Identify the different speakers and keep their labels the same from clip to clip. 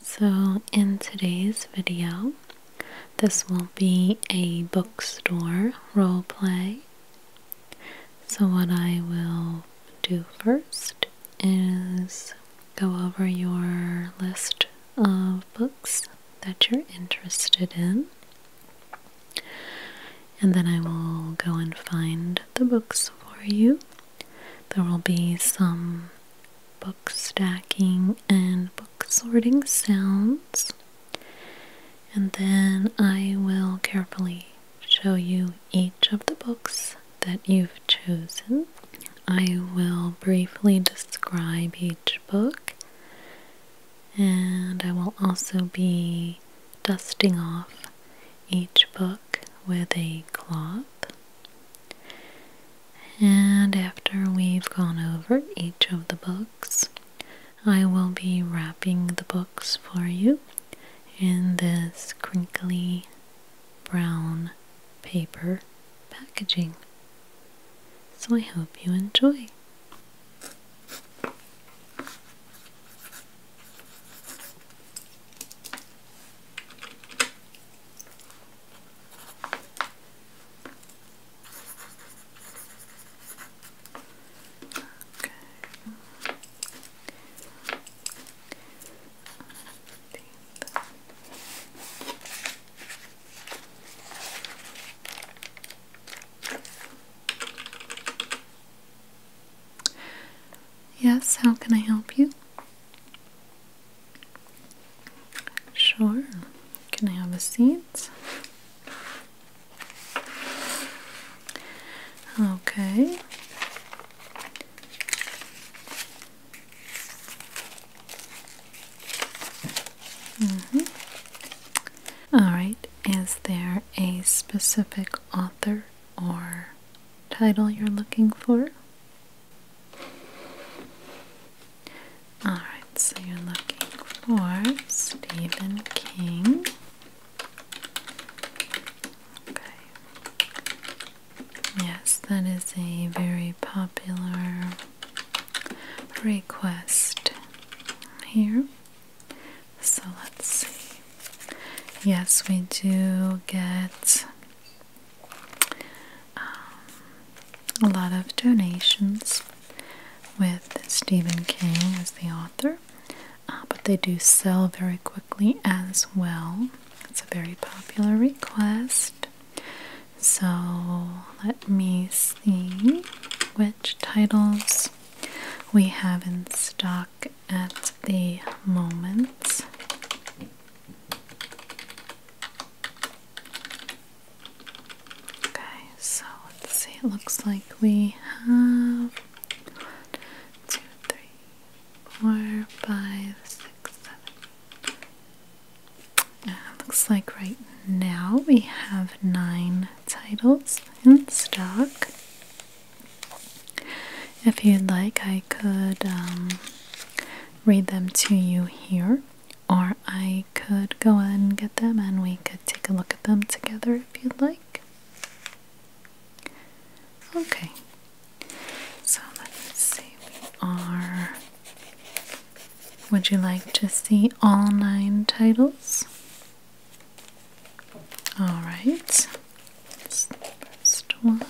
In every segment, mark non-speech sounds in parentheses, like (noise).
Speaker 1: So, in today's video, this will be a bookstore role play. So, what I will do first is go over your list of books that you're interested in, and then I will go and find the books for you there will be some book stacking and book sorting sounds. And then I will carefully show you each of the books that you've chosen. I will briefly describe each book and I will also be dusting off each book with a cloth. And after we've gone over each of the books, I will be wrapping the books for you in this crinkly brown paper packaging. So I hope you enjoy. Yes, how can I help you? Sure. Can I have a seat? Okay. Mm -hmm. All right. Is there a specific author or title you're looking for? Alright, so you're looking for Stephen King. Okay. Yes, that is a very popular request here. So let's see. Yes, we do get um, a lot of donations with Stephen King as the author, uh, but they do sell very quickly as well. It's a very popular request. So let me see which titles we have in stock at the moment. Okay, so let's see, it looks like we have one, two, three, four, five, six, seven. Uh, looks like right now we have nine titles in stock. If you'd like, I could um, read them to you here, or I could go and get them and we could take a look at them together if you'd like. Okay, so let us see. We are. Would you like to see all nine titles? All right. first one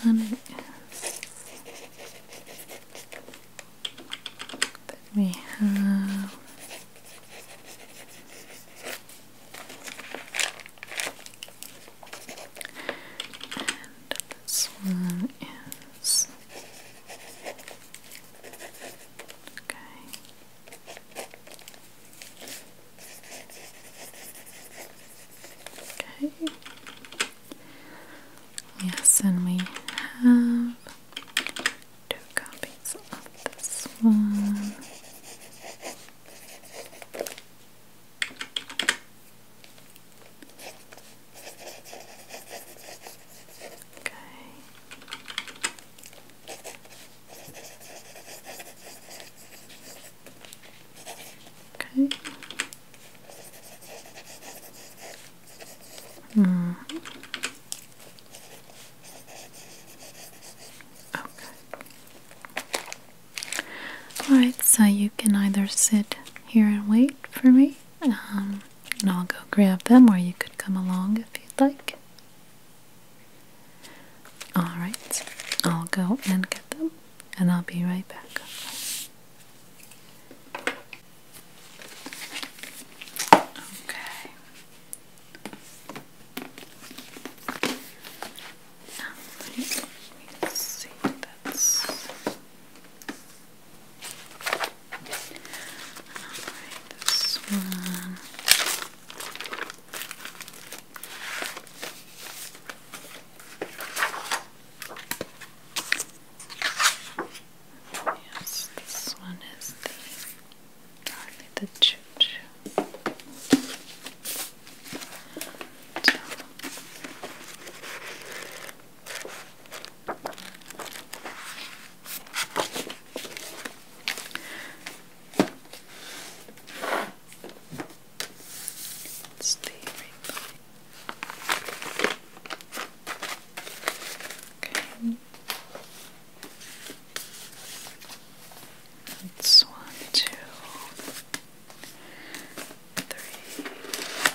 Speaker 1: then we have and this one is okay. Okay. Yes, and we have two copies of this one. Okay. Okay, -hmm. Okay. Alright, so you can either sit here and wait for me, um, and I'll go grab them, or you could come along if you'd like. Alright, I'll go and get them, and I'll be right back. Okay. Now let me see that's Alright, this one. Yes, this one is the the Choo it's the rainbow. Okay. It's one, two, three. Okay.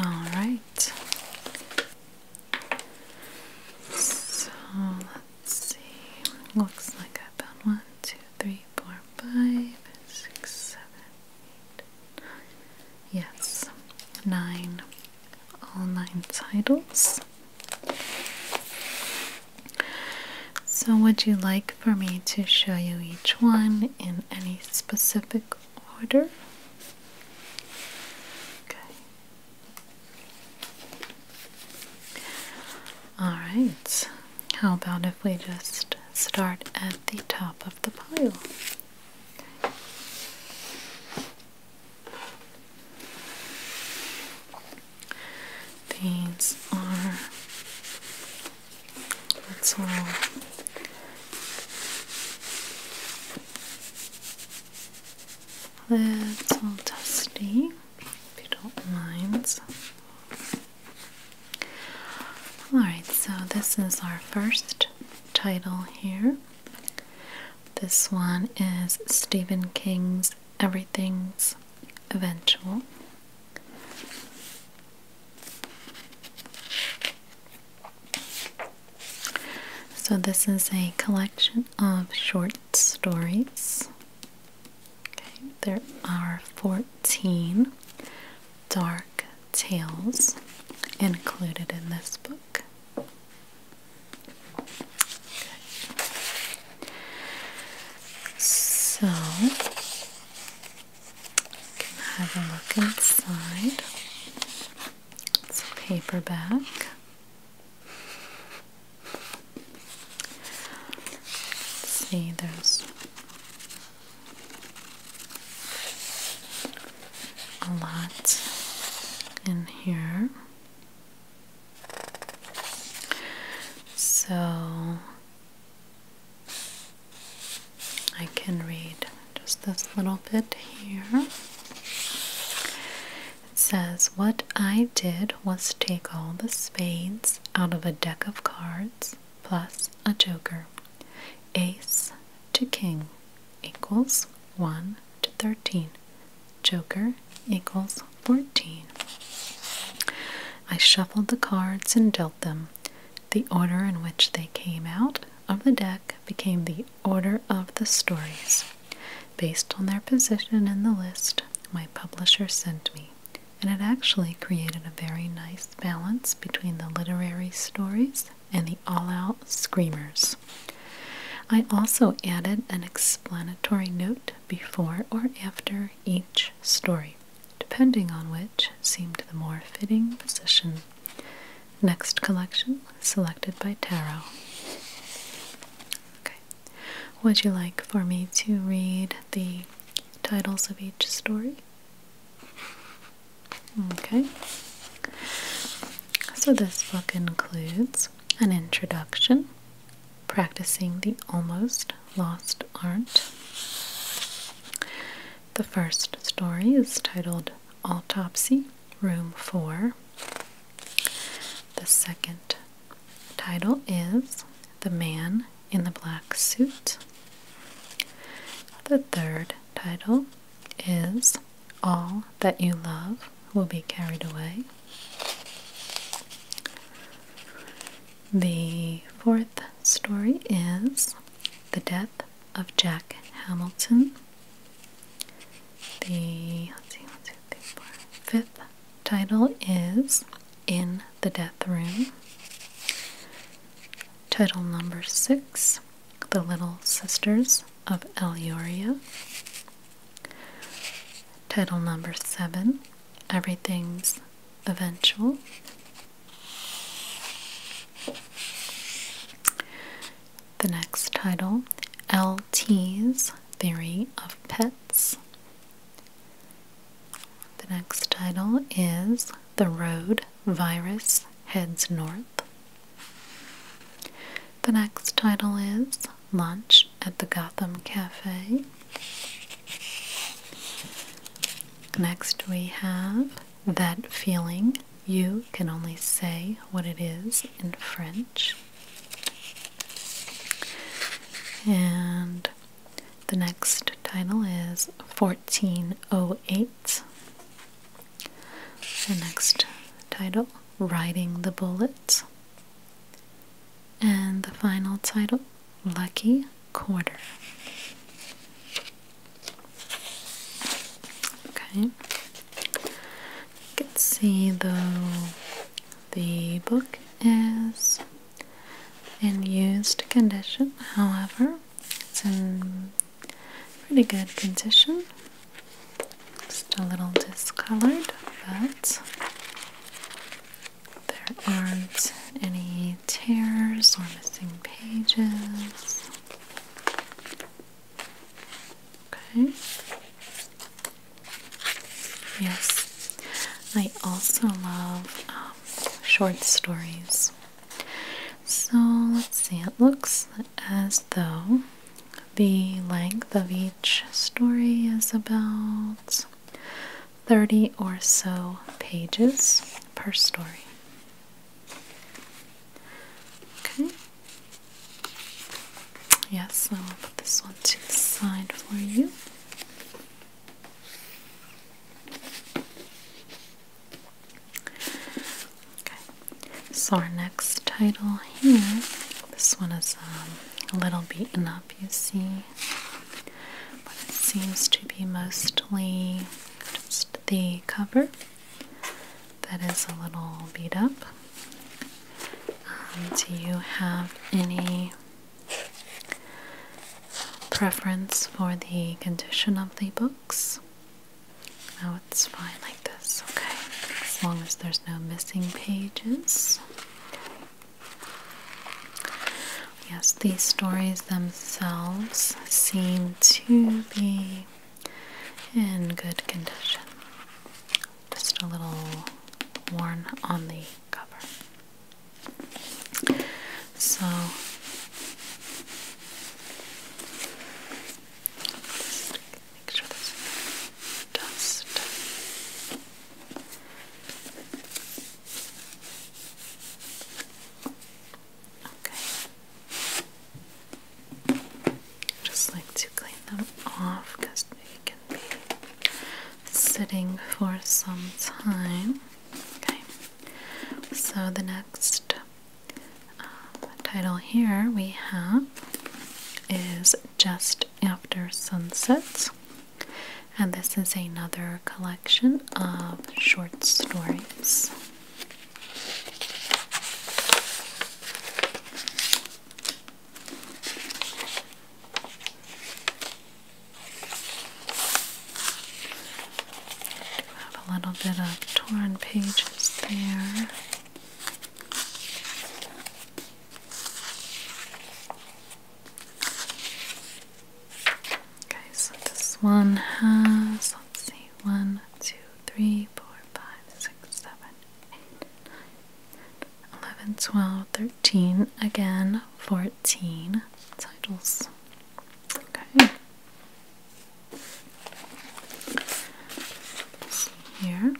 Speaker 1: All right. So let's see. Looks like I found one, two, three, three, four, five, six, seven, eight, nine. Yes, nine. All nine titles. So, would you like for me to show you each one in any specific order? Okay. Alright, how about if we just start at the top of the pile? These are let's roll little dusty, if you don't mind. Alright, so this is our first title here. This one is Stephen King's Everything's Eventual. So, this is a collection of short stories Okay, there are 14 dark tales included in this book. So, can have a look inside. It's a paperback. let see, there's a lot in here. So I can read just this little bit here. It says, What I did was take all the spades out of a deck of cards plus a joker. Ace to king equals 1 to 13. Joker equals 14. I shuffled the cards and dealt them. The order in which they came out of the deck became the order of the stories, based on their position in the list my publisher sent me and it actually created a very nice balance between the literary stories and the all out screamers. I also added an explanatory note before or after each story, depending on which seemed the more fitting position. Next collection selected by Tarot. Okay. Would you like for me to read the titles of each story? Okay. So this book includes an introduction, practicing the almost lost art. The first story is titled Autopsy, Room 4. The second title is The Man in the black suit. The third title is All That You Love Will Be Carried Away. The fourth story is The Death of Jack Hamilton. The fifth title is in the death room. Title number six The Little Sisters of Eluria. Title number seven Everything's Eventual. The next title LT's Theory of Pets. The next title is The Road Virus Heads North. The next title is Lunch at the Gotham Cafe. Next, we have That Feeling. You can only say what it is in French. And the next title is 1408. The next title, Riding the Bullet. And the final title, Lucky Quarter. Okay. You can see though the book is in used condition, however, it's in pretty good condition. Just a little discolored, but there aren't any tears or missing pages. Okay. Yes, I also love short stories. So let's see, it looks as though the length of each story is about 30 or so pages per story. Okay. Yes, I'll put this one to the side for you so our next title here, this one is um, a little beaten up, you see, but it seems to be mostly just the cover that is a little beat up. Um, do you have any preference for the condition of the books. Now it's fine like this, okay? As long as there's no missing pages. Yes, these stories themselves seem to be in good condition. Just a little worn on the cover. So just make sure there's no dust. Okay. Just like to clean them off because they can be sitting for some time. Okay. So the next uh, title here we have is Just After Sunsets, and this is another collection of short stories. Have a little bit of torn pages there. Okay, so this one has, let's see, one, two, three, four, five, six, seven, eight, nine, 11, 12, 13, again, 14 titles. Okay. here,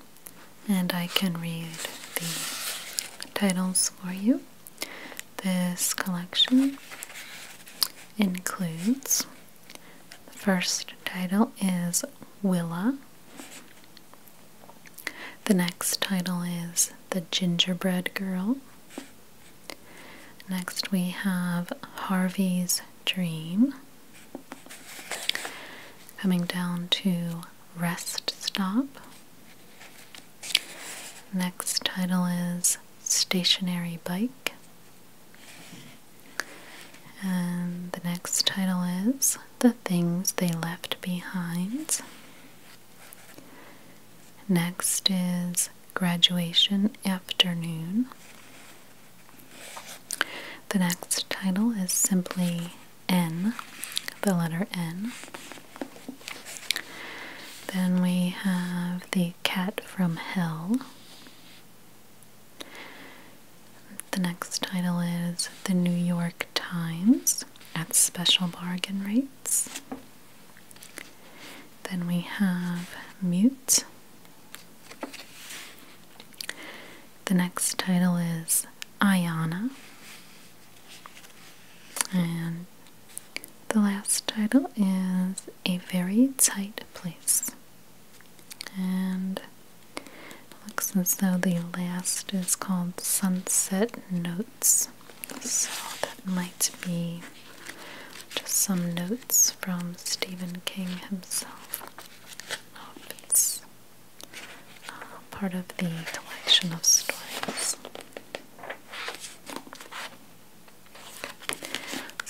Speaker 1: and I can read the titles for you. This collection includes the first title is Willa. The next title is The Gingerbread Girl. Next we have Harvey's Dream. Coming down to Rest Stop. Next title is Stationary Bike. And the next title is The Things They Left Behind. Next is Graduation Afternoon. The next title is simply N, the letter N. Then we have The Cat from Hell. The next title is The New York Times at Special Bargain Rates. Then we have Mute. The next title is Ayana. And the last title is A Very Tight Place. And looks as though the last is called Sunset Notes. So that might be just some notes from Stephen King himself. Oh, it's uh, part of the collection of stories.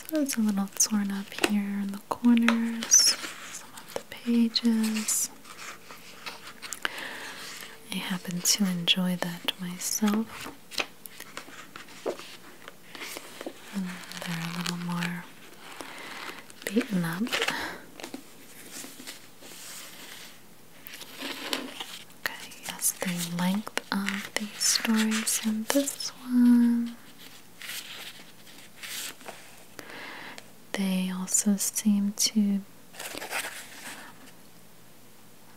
Speaker 1: So it's a little torn up here in the corners, some of the pages. I happen to enjoy that myself they're a little more beaten up. Okay, yes, the length of these stories in this one. They also seem to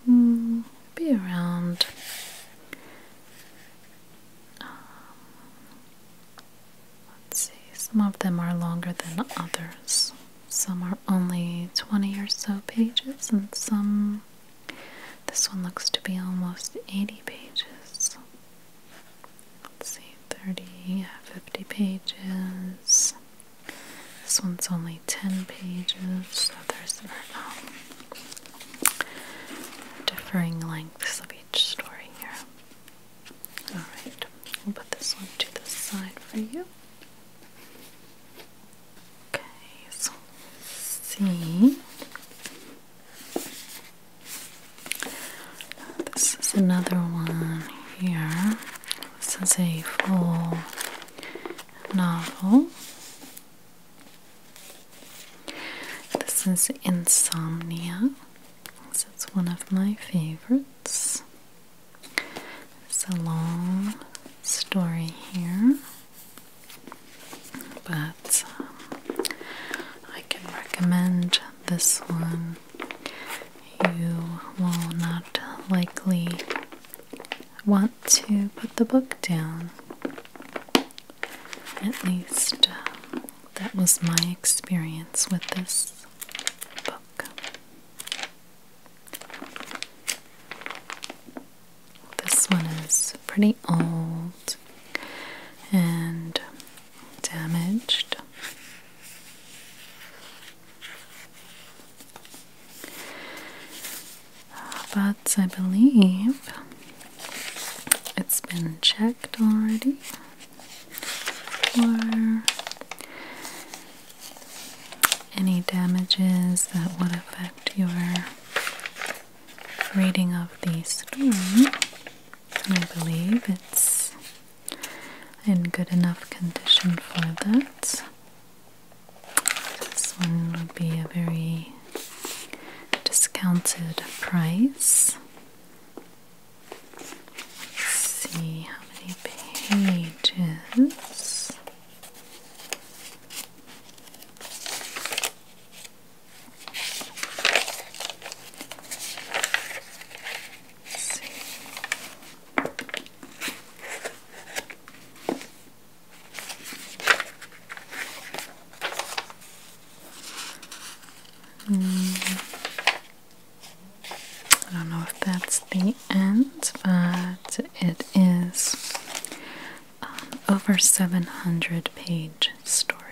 Speaker 1: mm, be around um, let's see some of them are longer than others some are only 20 or so pages and some this one looks to be almost 80 pages let's see 30 yeah, 50 pages this one's only 10 pages so there's um, differing lengths of each story here. Alright, I'll put this one to the side for you. Okay, so let see. This is another one here. This is a full novel. This is Insomnia. it's one of my favorites. It's a long story here, but um, I can recommend this one. You will not likely want to put the book down. At least uh, that was my experience with this book. This one is pretty old and damaged but I believe it's been checked already for any damages that would affect your reading of the storm, And I believe it's in good enough condition for that. This one would be a very discounted price. see how many pages. Mm. I don't know if that's the end, but it is over 700 page story.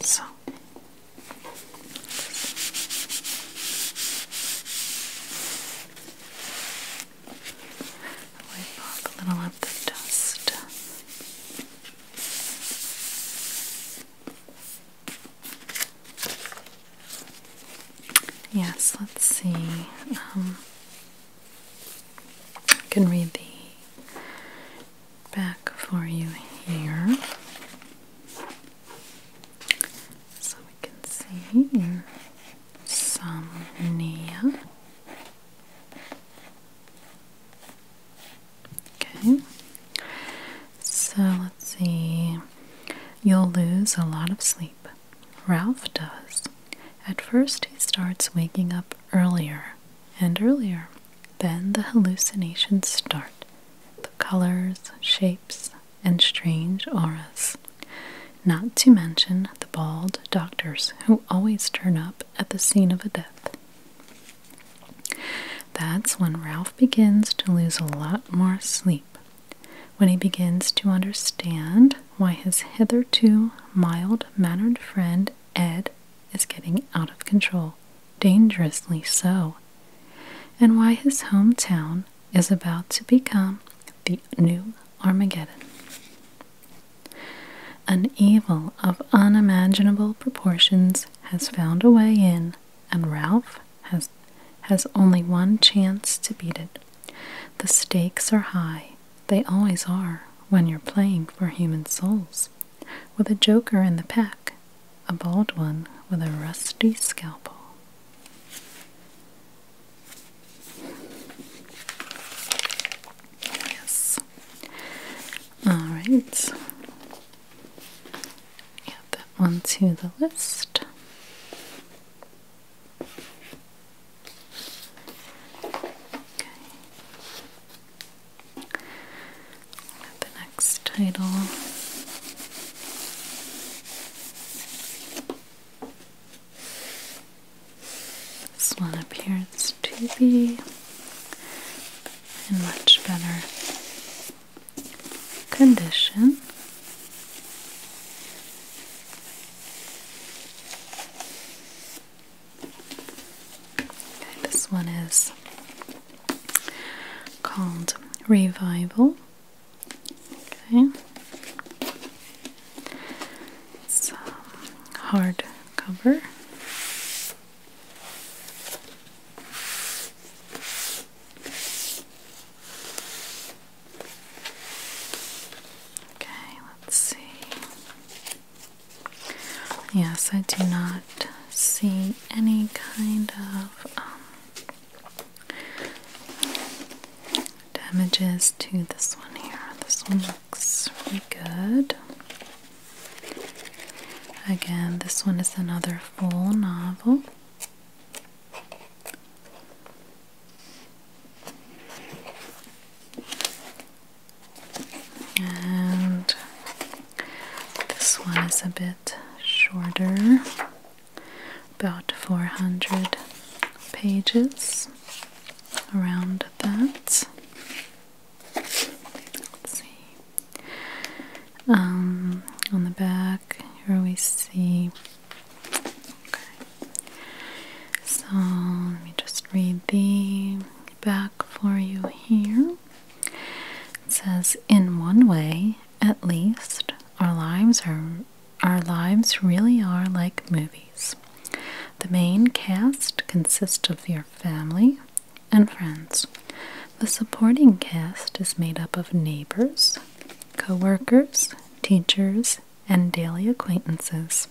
Speaker 1: So Wipe off a little of the dust. Yes, let's see. I um, can read the back for you here. So we can see insomnia. Okay, so let's see. You'll lose a lot of sleep. Ralph does. At first, he starts waking up earlier and earlier. Then the hallucinations start the colors, shapes, and strange auras. Not to mention the bald doctors who always turn up at the scene of a death. That's when Ralph begins to lose a lot more sleep, when he begins to understand why his hitherto mild mannered friend Ed is getting out of control, dangerously so, and why his hometown is about to become the new Armageddon. An evil of unimaginable proportions has found a way in, and Ralph has has only one chance to beat it. The stakes are high. They always are when you're playing for human souls. With a joker in the pack, a bald one with a rusty scalpel. Yes. All right. Add that one to the list. Okay. Add the next title. This one appears to be in much better condition. this one is called Revival. Okay. It's hard cover. Okay, let's see. Yes, I do not see any kind of um, damages to this one here. This one looks really good. Again, this one is another full novel. And this one is a bit shorter, about 400 pages around that. Let's see. Um, on the back, here we see. Okay. So let me just read the back for you here. It says, "In one way, at least, our lives are." Our lives really are like movies. The main cast consists of your family and friends. The supporting cast is made up of neighbors, co workers, teachers, and daily acquaintances.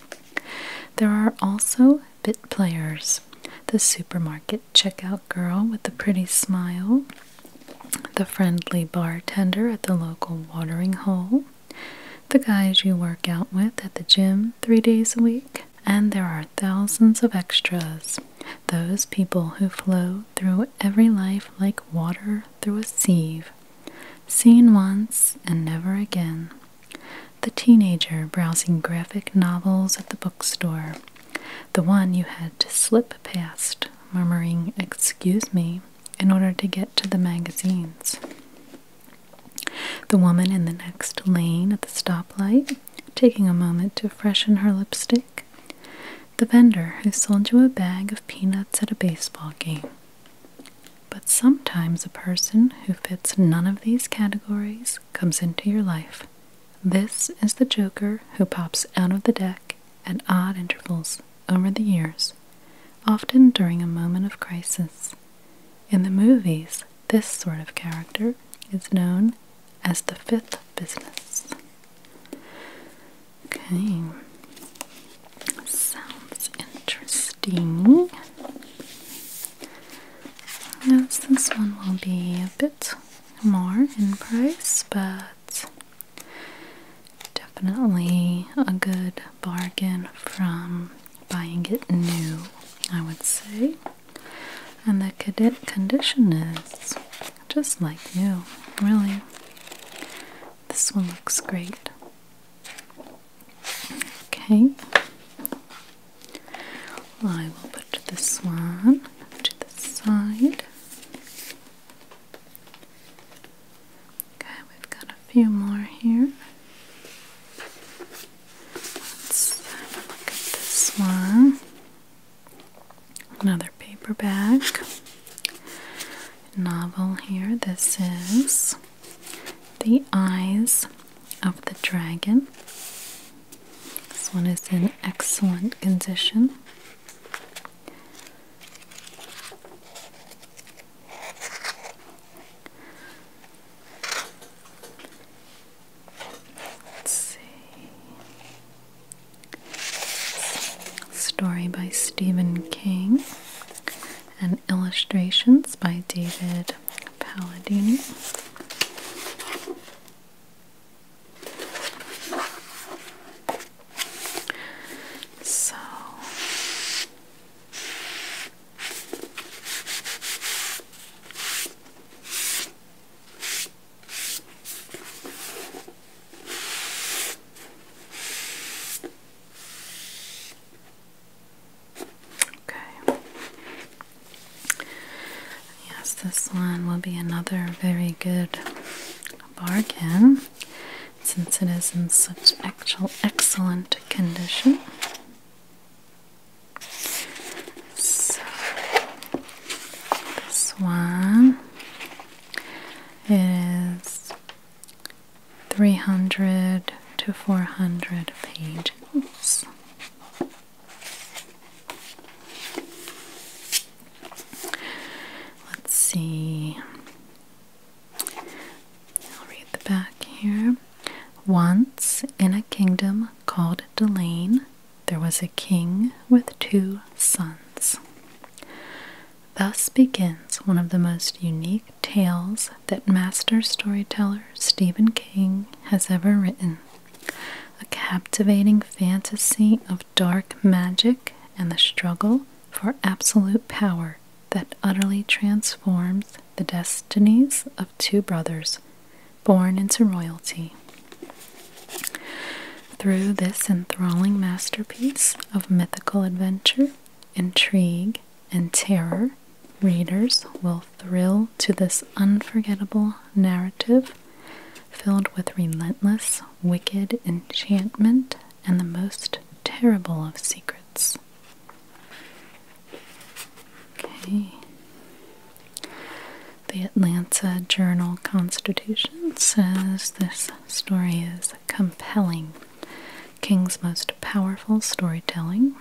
Speaker 1: There are also bit players the supermarket checkout girl with the pretty smile, the friendly bartender at the local watering hole, the guys you work out with at the gym three days a week, and there are thousands of extras. Those people who flow through every life like water through a sieve, seen once and never again. The teenager browsing graphic novels at the bookstore, the one you had to slip past, murmuring, Excuse me, in order to get to the magazines. The woman in the next lane at the stoplight, taking a moment to freshen her lipstick. The vendor who sold you a bag of peanuts at a baseball game. But sometimes a person who fits none of these categories comes into your life. This is the Joker who pops out of the deck at odd intervals over the years, often during a moment of crisis. In the movies, this sort of character is known as the fifth business. Okay, sounds interesting. Yes, this one will be a bit more in price, but definitely a good bargain from buying it new, I would say. And the condition is just like new, really. This one looks great. Okay. I will put this one to the side. Okay, we've got a few more here. Let's have a look at this one. Another paperback novel here. This is The Eyes of the Dragon. This one is in excellent condition. Let's see. Story by Stephen King and illustrations by David Paladini. So Okay. Yes, this one will be another very good bargain since it is in such actual excellent condition. So this one is 300 to 400 pages. Let's see. I'll read the back here. Once in a kingdom called Delaine, there was a king with two sons. Thus begins one of the most unique tales that master storyteller Stephen King has ever written. A captivating fantasy of dark magic and the struggle for absolute power that utterly transforms the destinies of two brothers born into royalty. Through this enthralling masterpiece of mythical adventure, intrigue, and terror, readers will thrill to this unforgettable narrative filled with relentless, wicked enchantment and the most terrible of secrets. Okay. The Atlanta Journal Constitution says this story is compelling, King's most powerful storytelling.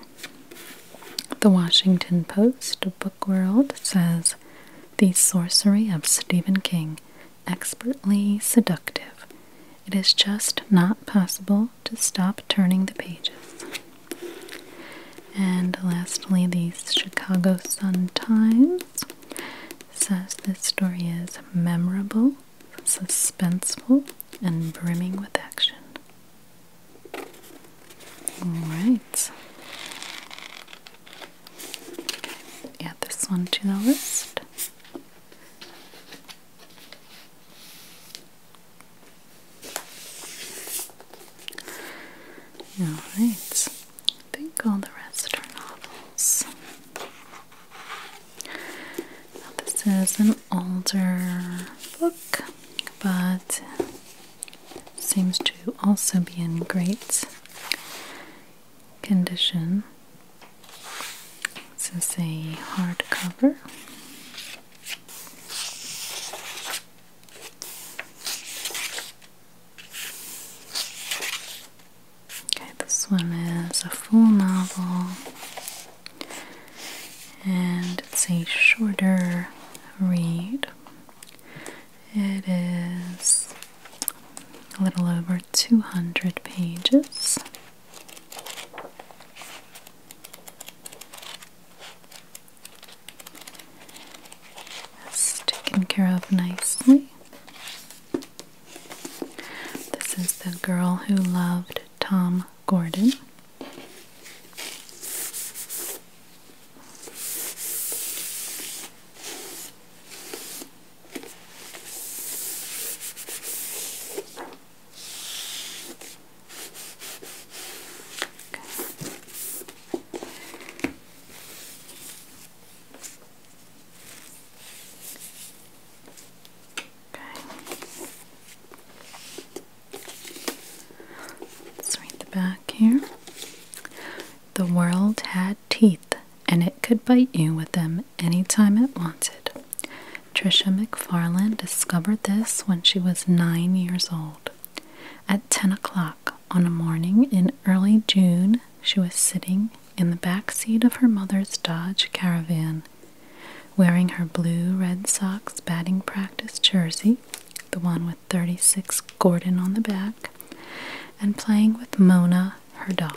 Speaker 1: The Washington Post, Book World, says the sorcery of Stephen King, expertly seductive. It is just not possible to stop turning the pages. And lastly, the Chicago Sun Times says this story is memorable, suspenseful, and brimming with action. Alright. Add this one to the list. Alright, I think all the rest are novels. this is an older book, but seems to also be in great condition. This is a hardcover. Okay, this one is a full novel, and it's a shorter read. It is a little over 200 pages taken care of nicely. This is the girl who loved Tom Gordon. Okay. Let's read the back here. The world had teeth, and it could bite you with them any time it wanted. Trisha McFarland discovered this when she was nine years old. At 10 o'clock on a morning in early June, she was sitting in the back seat of her mother's Dodge Caravan, wearing her blue Red socks batting practice jersey, the one with 36 Gordon on the back, and playing with Mona, her doll.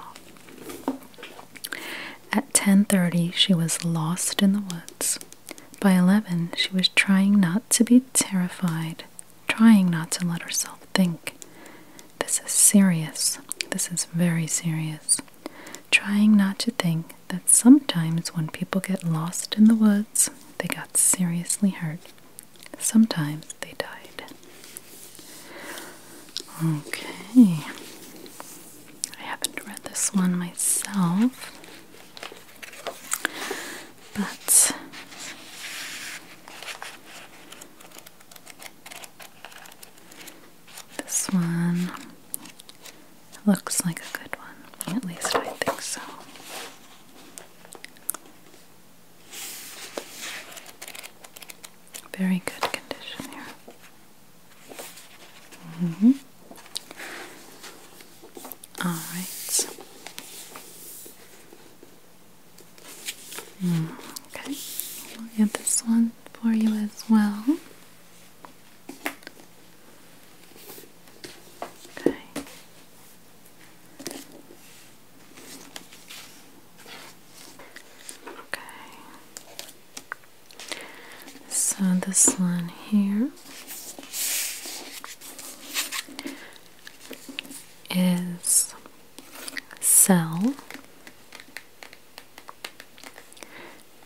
Speaker 1: At 10:30 she was lost in the woods. By 11 she was trying not to be terrified, trying not to let herself think. This is serious. This is very serious. Trying not to think that sometimes when people get lost in the woods, they got seriously hurt. Sometimes they died. Okay. I haven't read this one myself, but this one looks like a good one, at least I think so. Very good condition here. Mm -hmm. All right. Mm, okay, we'll get this one for you as well. Okay. Okay. So, this one here is cell.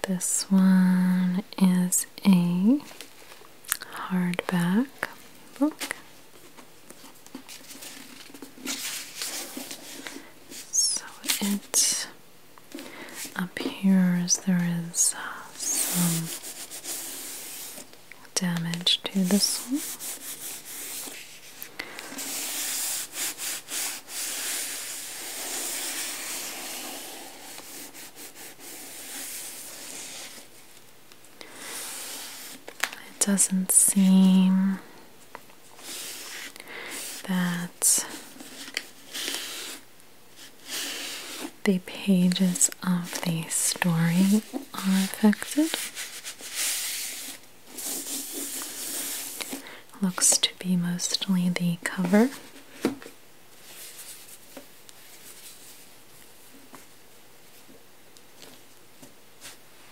Speaker 1: This one is a hardback book. So it up here, as there is uh, some damage to the soul. It doesn't seem that the pages of the story are affected. Looks to be mostly the cover.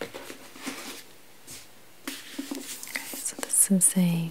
Speaker 1: Okay, so this is a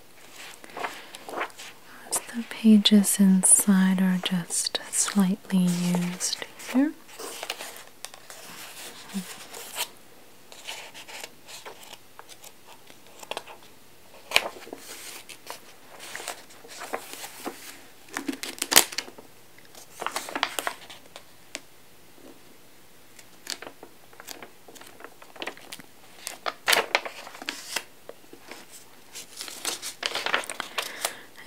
Speaker 1: the pages inside are just slightly used here.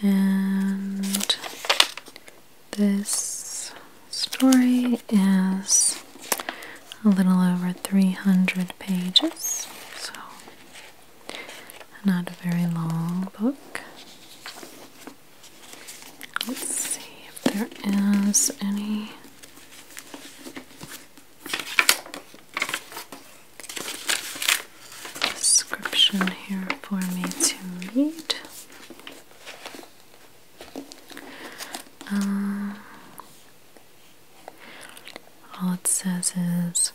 Speaker 1: And this story is a little over 300 pages, so not a very long book. Let's see if there is any description here for me to read. Uh, all it says is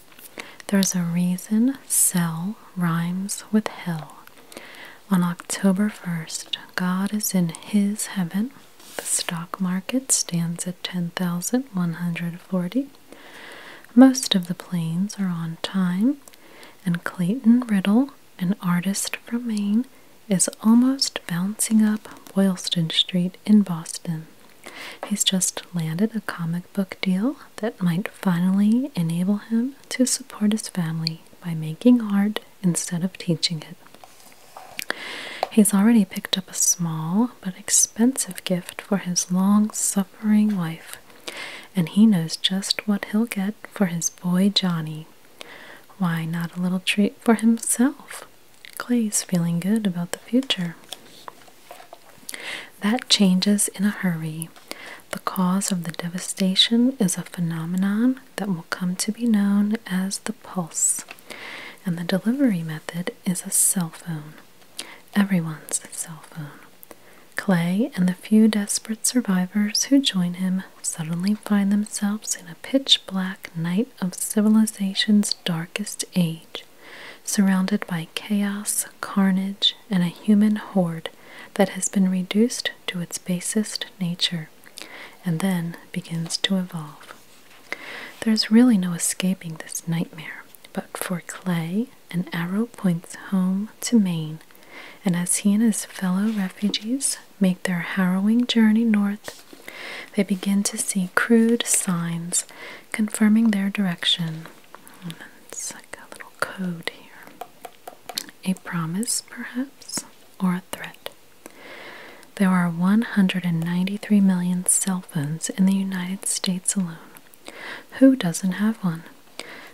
Speaker 1: there's a reason cell rhymes with hell. On October 1st, God is in his heaven the stock market stands at 10,140. Most of the planes are on time, and Clayton Riddle, an artist from Maine, is almost bouncing up Boylston Street in Boston. He's just landed a comic book deal that might finally enable him to support his family by making art instead of teaching it. He's already picked up a small but expensive gift for his long suffering wife, and he knows just what he'll get for his boy Johnny. Why not a little treat for himself? Clay's feeling good about the future. That changes in a hurry. The cause of the devastation is a phenomenon that will come to be known as the pulse. And the delivery method is a cell phone. Everyone's cell phone. Clay and the few desperate survivors who join him suddenly find themselves in a pitch black night of civilization's darkest age, surrounded by chaos, carnage, and a human horde that has been reduced to its basest nature and then begins to evolve. There's really no escaping this nightmare, but for Clay, an arrow points home to Maine, and as he and his fellow refugees make their harrowing journey north, they begin to see crude signs confirming their direction. Hmm, it's like a little code here. A promise, perhaps, or a threat. There are 193 million cell phones in the United States alone. Who doesn't have one?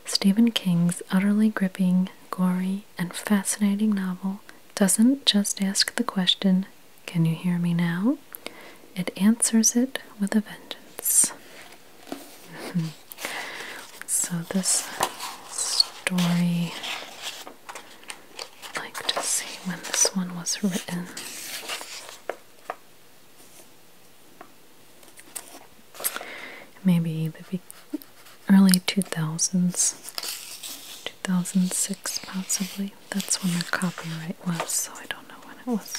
Speaker 1: Stephen King's utterly gripping, gory, and fascinating novel doesn't just ask the question, Can you hear me now? It answers it with a vengeance. (laughs) so, this story I'd like to see when this one was written. Maybe the early 2000s, 2006 possibly. That's when the copyright was, so I don't know when it was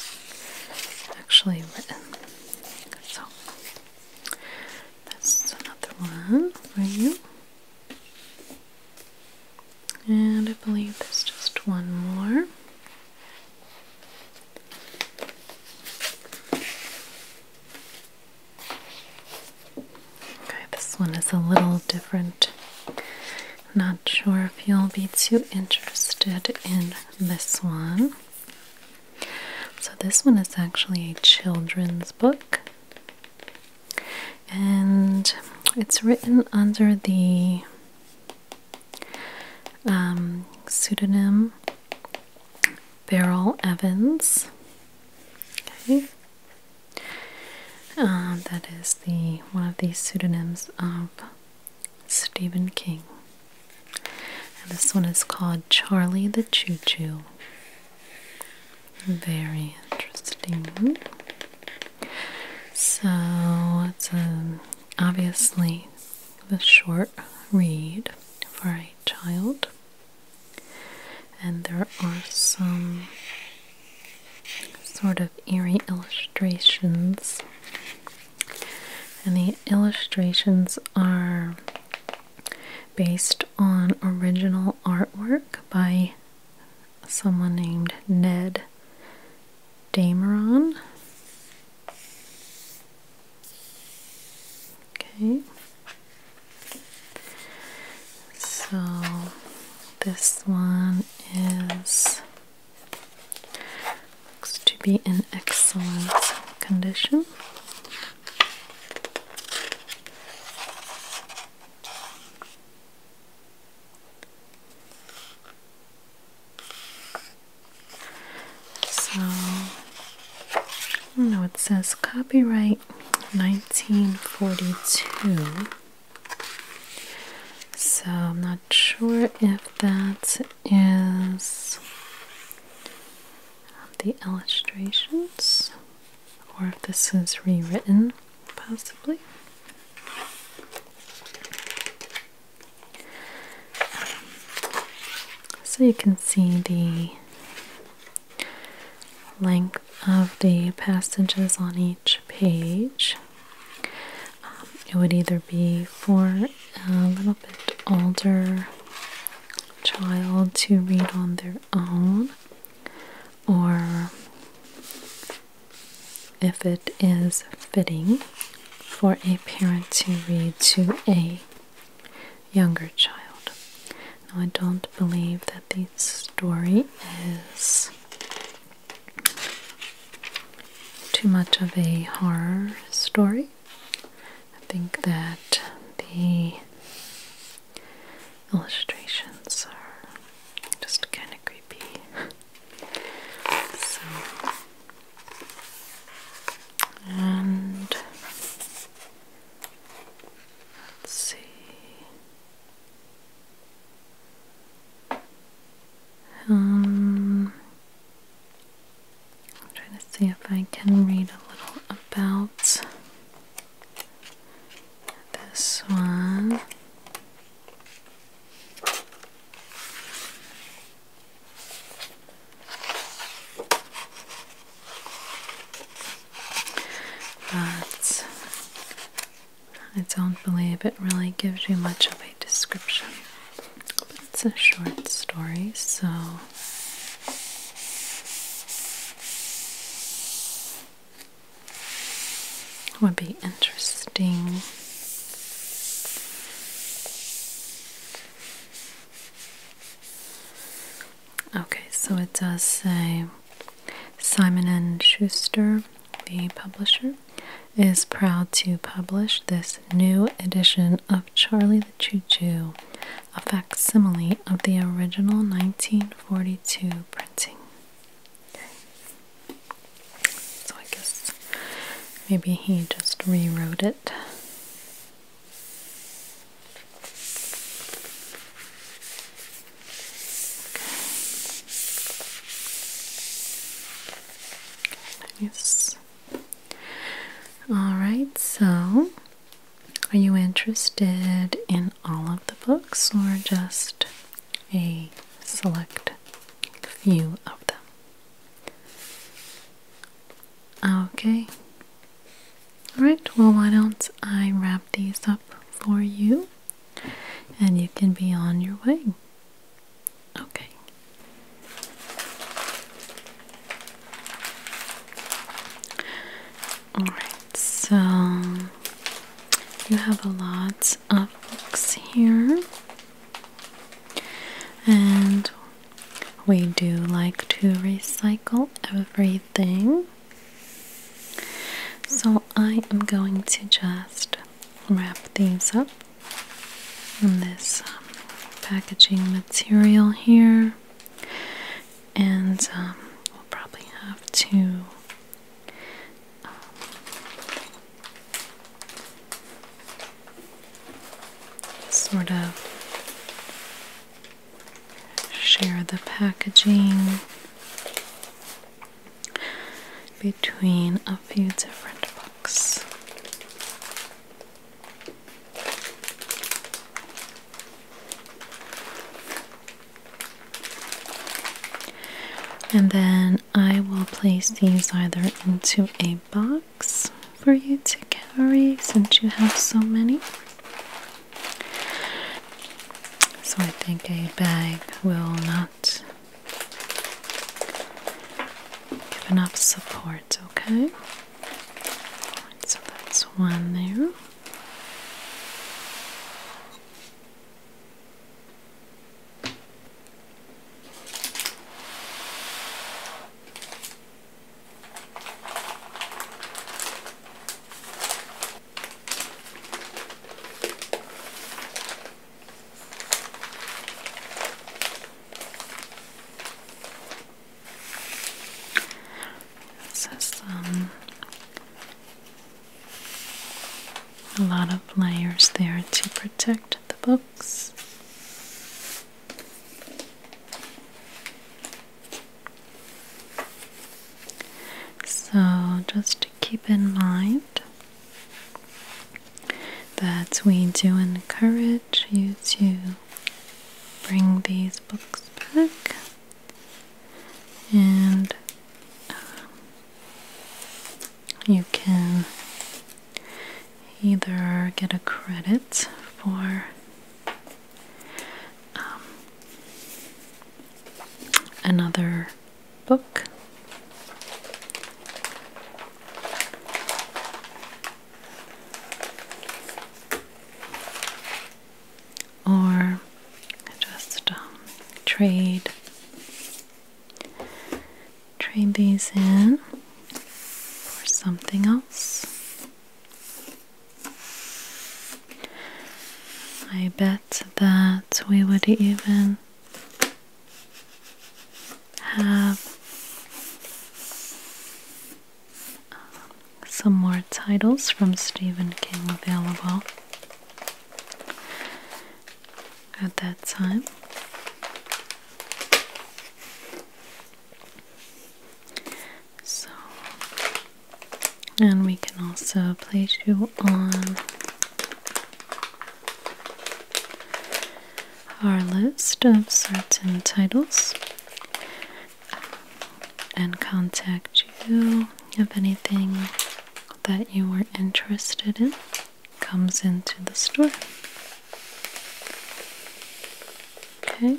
Speaker 1: actually written. So, that's another one for you. And I believe there's just one more. Okay, this one is a little different. Not sure if you'll be too interested in this one. So, this one is actually a children's book and it's written under the um, pseudonym Beryl Evans. Okay. Uh, that is the one of the pseudonyms of Stephen King. And this one is called Charlie the Choo Choo. Very interesting. So it's um, obviously a short read for a child, and there are some sort of eerie illustrations. And the illustrations are based on original artwork by someone named Ned Dameron. Okay. So this one is looks to be in excellent condition. So, no, it says copyright 1942. So, I'm not sure if that is the illustrations or if this is rewritten possibly. so you can see the length of the passages on each page. Um, it would either be for a little bit older child to read on their own or if it is fitting for a parent to read to a younger child. Now, I don't believe that the story is too much of a horror story. I think that the illustrations are just kind of creepy. so, and let's see. Um, I'm trying to see if I can read a little about this one. But I don't believe it really gives you much of a description. it's a short story, so would be interesting. Okay, so it does say Simon and Schuster, the publisher, is proud to publish this new edition of Charlie the Choo Choo, a facsimile of the original 1942 printing. So I guess maybe he just rewrote it. Nice. Alright, so are you interested in all of the books or just a select few of them. Okay. Alright, well, why don't I wrap these up for you and you can be on your way. Okay. Alright, so you have a lot of books here, and we do like to recycle everything. So I am going to just wrap these up in this um, packaging material here, and um, we'll probably have to sort of share the packaging between a few different books. And then I will place these either into a box for you to carry since you have so many. So I think a bag will not give enough support, okay? so that's one there. This is um a lot of layers there to protect the books. So, just to keep in mind that we do encourage you to bring these books back and um, you can either get a credit for um, another book or just um, trade trade these in for something else. I bet that we would even have um, some more titles from Stephen King available at that time. So, and we can also place you on our list of certain titles and contact you if anything that you are interested in comes into the store. Okay.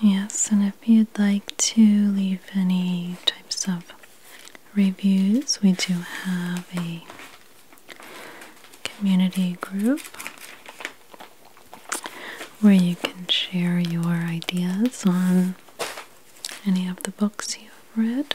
Speaker 1: Yes, and if you'd like to leave any types of reviews, we do have a community group where you can share your ideas on any of the books you've read.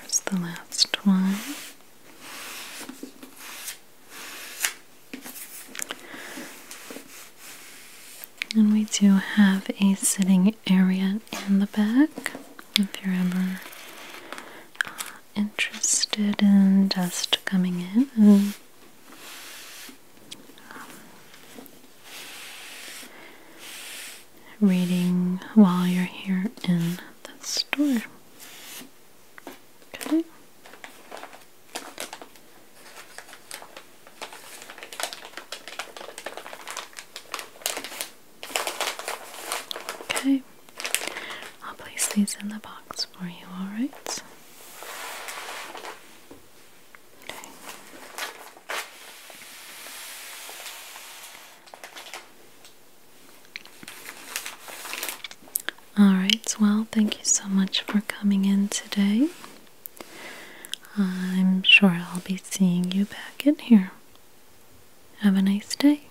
Speaker 1: Here's the last one. And we do have a sitting area in the back if you're ever uh, interested in dust coming in um, reading while you're here in the store. Okay. Okay. I'll place these in the box for you, alright? All right, well, thank you so much for coming in today. I'm sure I'll be seeing you back in here. Have a nice day.